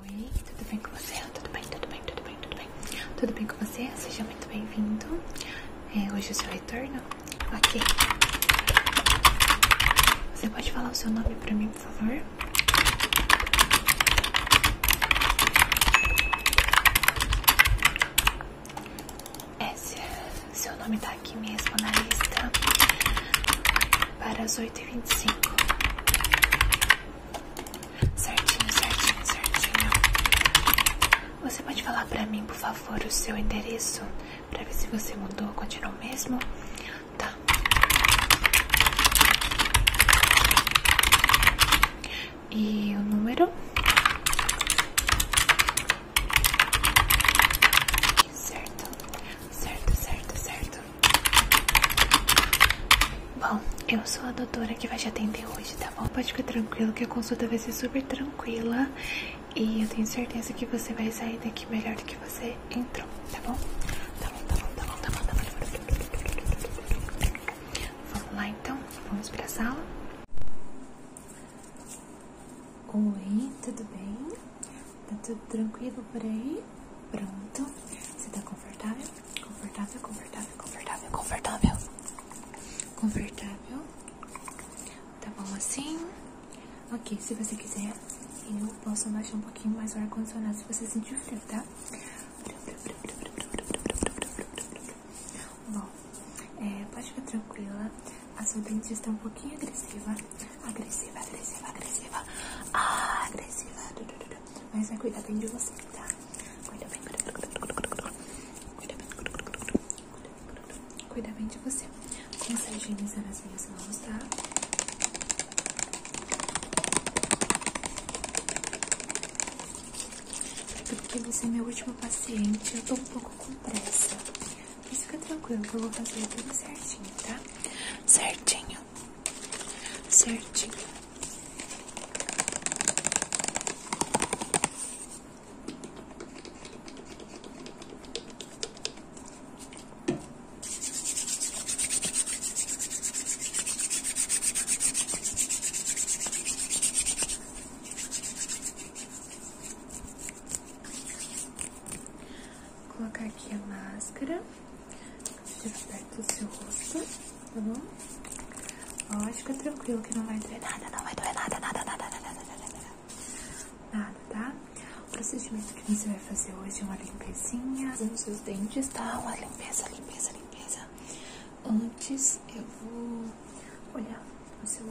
Oi, tudo bem com você? Tudo bem, tudo bem, tudo bem, tudo bem. Tudo bem com você? Seja muito bem-vindo. É, hoje É o seu retorno? Ok. Você pode falar o seu nome para mim, por favor? É, seu nome tá aqui mesmo na lista para as 8h25. Certinho, certinho, certinho. Você pode falar pra mim, por favor, o seu endereço? Pra ver se você mudou, continuou mesmo? Tá e o número certo, certo, certo, certo. Bom, eu sou a doutora que vai te atender hoje, tá bom? Pode ficar tranquilo que a consulta vai ser super tranquila e eu tenho certeza que você vai sair daqui melhor do que você entrou, tá bom? Tá bom, tá bom, tá bom, tá bom, tá bom. Tá Vamos lá então, vamos para a sala. Oi, tudo bem? Tá tudo tranquilo por aí? Pronto. Você tá confortável? Confortável, confortável, confortável, confortável. Confortável. Tá bom assim? Ok, se você quiser, eu posso abaixar um pouquinho mais o ar-condicionado se você sentir frio, tá? Bom, é, pode ficar tranquila. A sua dentista é um pouquinho agressiva. Agressiva, agressiva, agressiva. Ah, agressiva. Mas vai cuidar bem de você, tá? Cuida bem. Cuida bem. Cuida bem de você. Começa a higienizar as minhas mãos, tá? É porque você é meu último paciente, eu tô um pouco com pressa. Mas fica tranquilo que eu vou fazer tudo certinho, tá? Certinho. Certinho colocar aqui a máscara perto do seu rosto, tá bom? Ó, é tranquilo que não vai doer nada, não vai doer nada, nada, nada, nada, nada, nada, nada, nada, tá? O procedimento que você vai fazer hoje é uma limpezinha nos seus dentes, tá? Uma limpeza, limpeza, limpeza, Antes eu vou olhar o seu,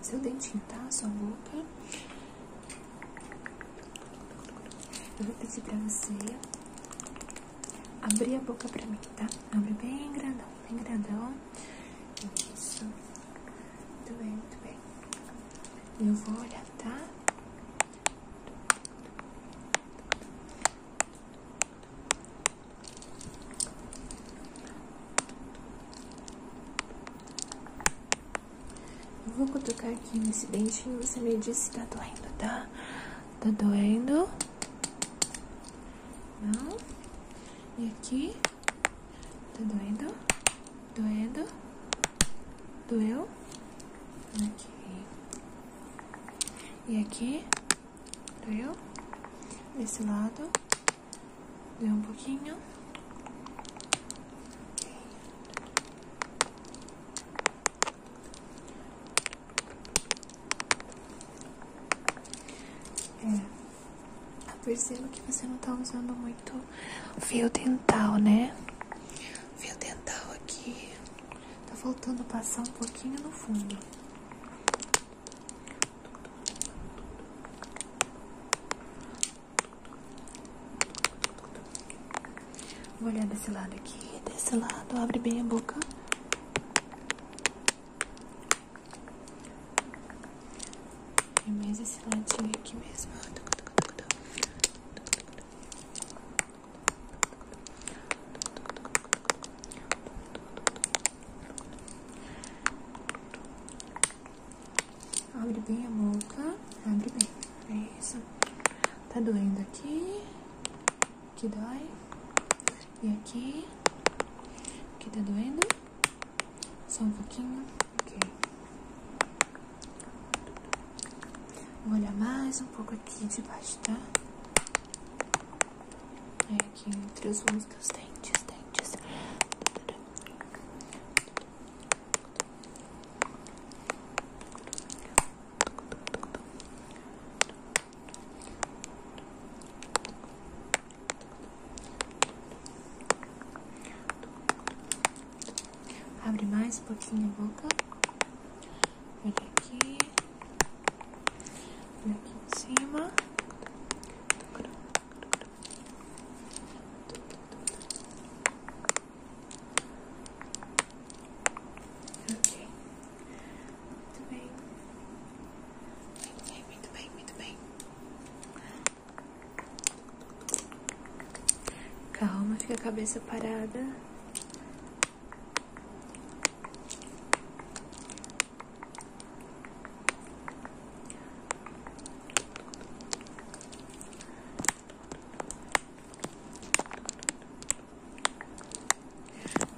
seu dentinho, tá? Sua boca. Eu vou pedir pra você abrir a boca pra mim, tá? Abre bem grandão, bem grandão. Isso. Muito bem, muito bem. Eu vou olhar, tá? vou colocar aqui nesse dente e você me diz se tá doendo, tá? Tá doendo? Não? E aqui? Tá doendo? Doendo? Doeu? Aqui. E aqui? doeu? Desse lado, doeu um pouquinho. É, percebo que você não tá usando muito fio dental, né? Fio dental aqui Tá faltando passar um pouquinho no fundo. Vou olhar desse lado aqui, desse lado, abre bem a boca. E mais esse ladinho aqui mesmo. Abre bem a boca. Abre bem. É isso. Tá doendo aqui. Aqui dói. E aqui. Aqui tá doendo. Só um pouquinho. Ok. Vou olhar mais um pouco aqui de baixo, tá? É aqui entre os uns dos dentes, dentes. Abre mais um pouquinho a boca. Olha aqui. Olha aqui em cima. Ok. Muito bem, muito bem, muito bem. Calma, fica a cabeça parada.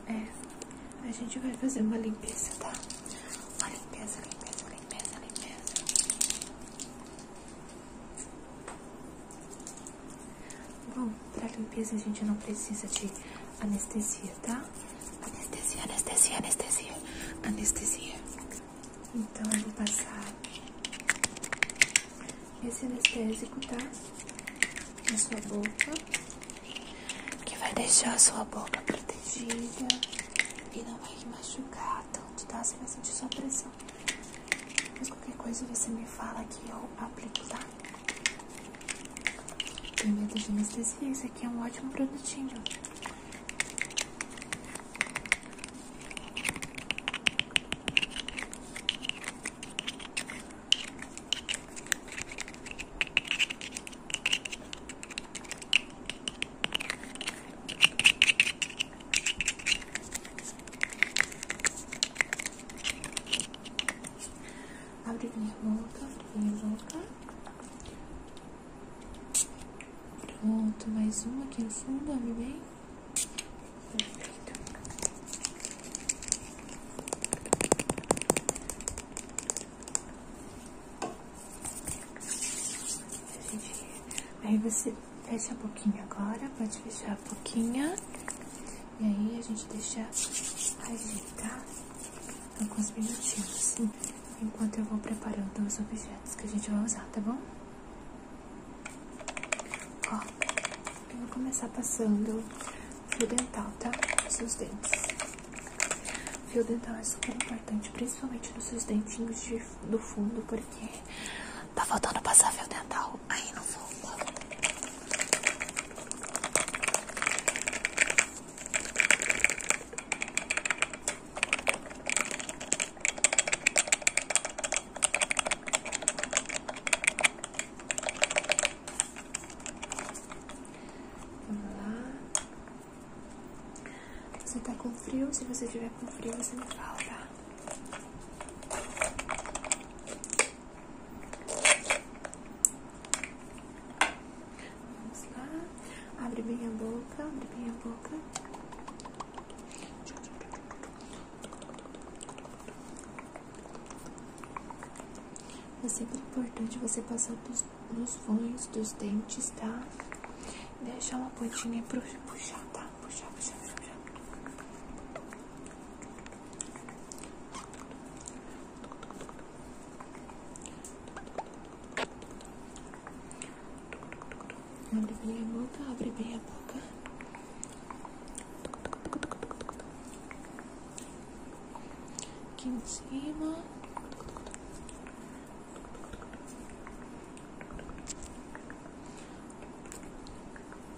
É, a gente vai fazer uma limpeza, tá? Uma limpeza, limpeza, limpeza, limpeza. Bom, pra limpeza a gente não precisa de anestesia, tá? Anestesia, anestesia, anestesia, anestesia. Então eu vou passar esse anestésico, tá? Na sua boca. Que vai deixar a sua boca protegida e não vai machucar Então, tá? Você vai sentir sua pressão. Mas qualquer coisa você me fala que eu aplico, tá? Tem medo de anestesia, isso aqui é um ótimo produtinho. Abre minha boca, abre minha boca. Pronto, mais uma aqui no fundo, abre bem. Perfeito. Aí você fecha um pouquinho agora, pode fechar a boquinha. E aí a gente deixa com os minutinhos, enquanto eu vou preparando os objetos que a gente vai usar, tá bom? Ó, eu vou começar passando fio dental, tá? Nos seus dentes. Fio dental é super importante, principalmente nos seus dentinhos de, do fundo, porque tá faltando passar fio dental. Aí não volta. Vamos lá. Você está com frio? Se você tiver com frio, você me fala, Vamos lá. Abre bem a boca, abre bem a boca. É sempre importante você passar dos, nos vãos dos dentes, tá? Deixar uma pontinha pra puxar, tá? Puxar, puxar, puxar. Abre bem a boca, abre bem a boca. Aqui em cima. Aqui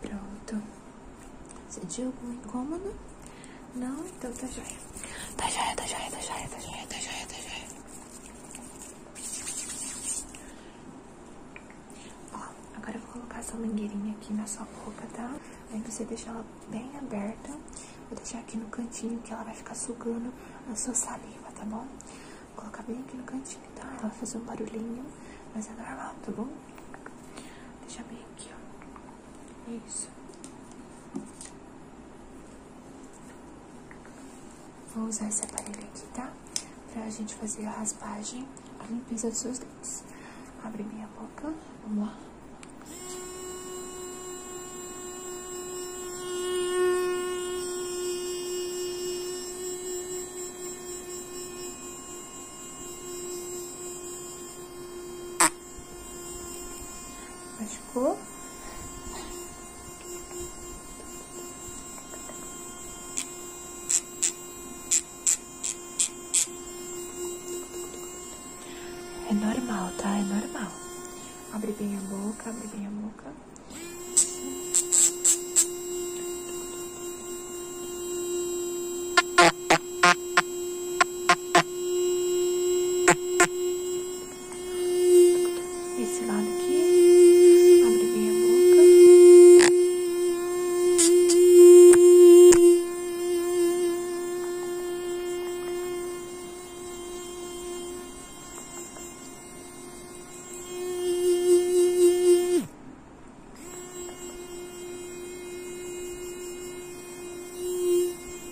Pronto. Sentiu algum incômodo? Não? Então tá joia. Tá joia, tá joia, tá joia, tá joia, tá joia, tá joia. Ó, agora eu vou colocar essa mangueirinha aqui na sua boca, tá? Aí você deixa ela bem aberta. Vou deixar aqui no cantinho que ela vai ficar sugando a sua saliva, tá bom? Vou colocar bem aqui no cantinho, tá? Ela vai fazer um barulhinho, mas é normal, tá bom? Deixa bem aqui, ó. Isso. Vou usar esse aparelho aqui, tá? Pra gente fazer a raspagem, a limpeza dos seus dentes. Abre minha boca. Vamos lá. Machucou? É normal, tá? É normal. Abre bem a boca, abre bem a boca. Esse lado aqui, abre bem a boca.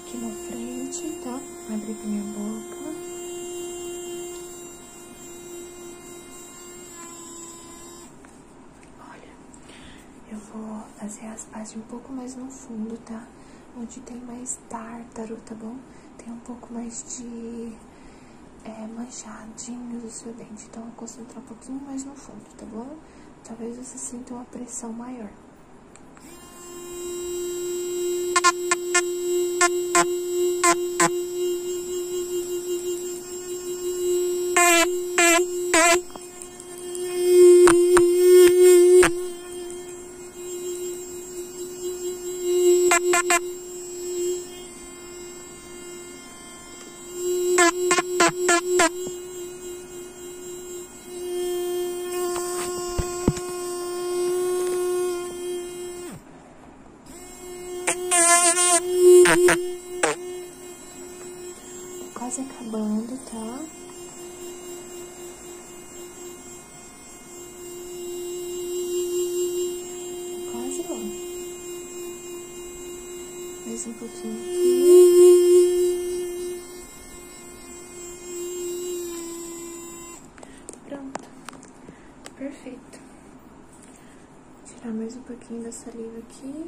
Aqui na frente, tá? Abre aqui minha boca. Olha, eu vou fazer as partes um pouco mais no fundo, tá? Onde tem mais tártaro, tá bom? Tem um pouco mais de é, manchadinhos o seu dente. Então, eu vou concentrar um pouquinho mais no fundo, tá bom? talvez você sinta uma pressão maior. Quase acabando, tá? Quase bom. Mais um pouquinho aqui. Tá pronto. Tá perfeito. tirar mais um pouquinho dessa saliva aqui.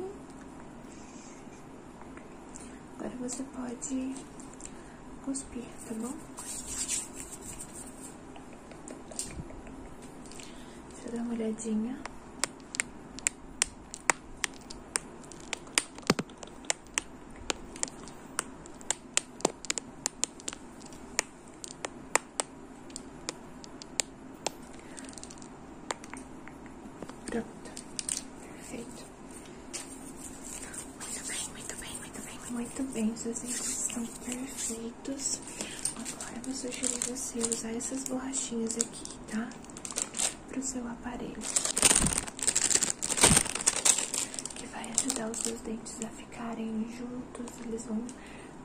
Agora você pode cuspir, tá bom? Deixa eu dar uma olhadinha. Pronto, perfeito. Muito bem, muito bem, muito bem, muito bem. Seus itens estão perfeitos. Agora eu vou sugerir você usar essas borrachinhas aqui, tá? para o seu aparelho, que vai ajudar os seus dentes a ficarem juntos, eles vão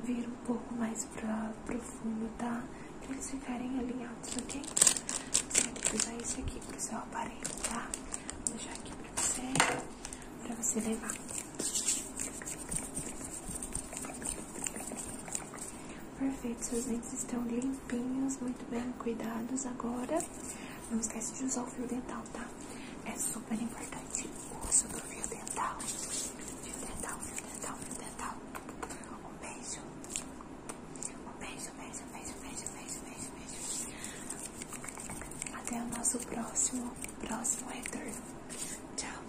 vir um pouco mais para profundo, tá? Para eles ficarem alinhados, ok? Você vai ter que usar isso aqui para o seu aparelho, tá? Vou deixar aqui para você, para você levar. Perfeito, seus dentes estão limpinhos, muito bem cuidados agora. Não esquece de usar o fio dental, tá? É super importante o uso do fio dental. Fio dental, fio dental, fio dental. Um beijo. Um beijo, beijo, beijo, beijo, beijo, beijo, beijo. Até o nosso próximo, próximo retorno. Tchau.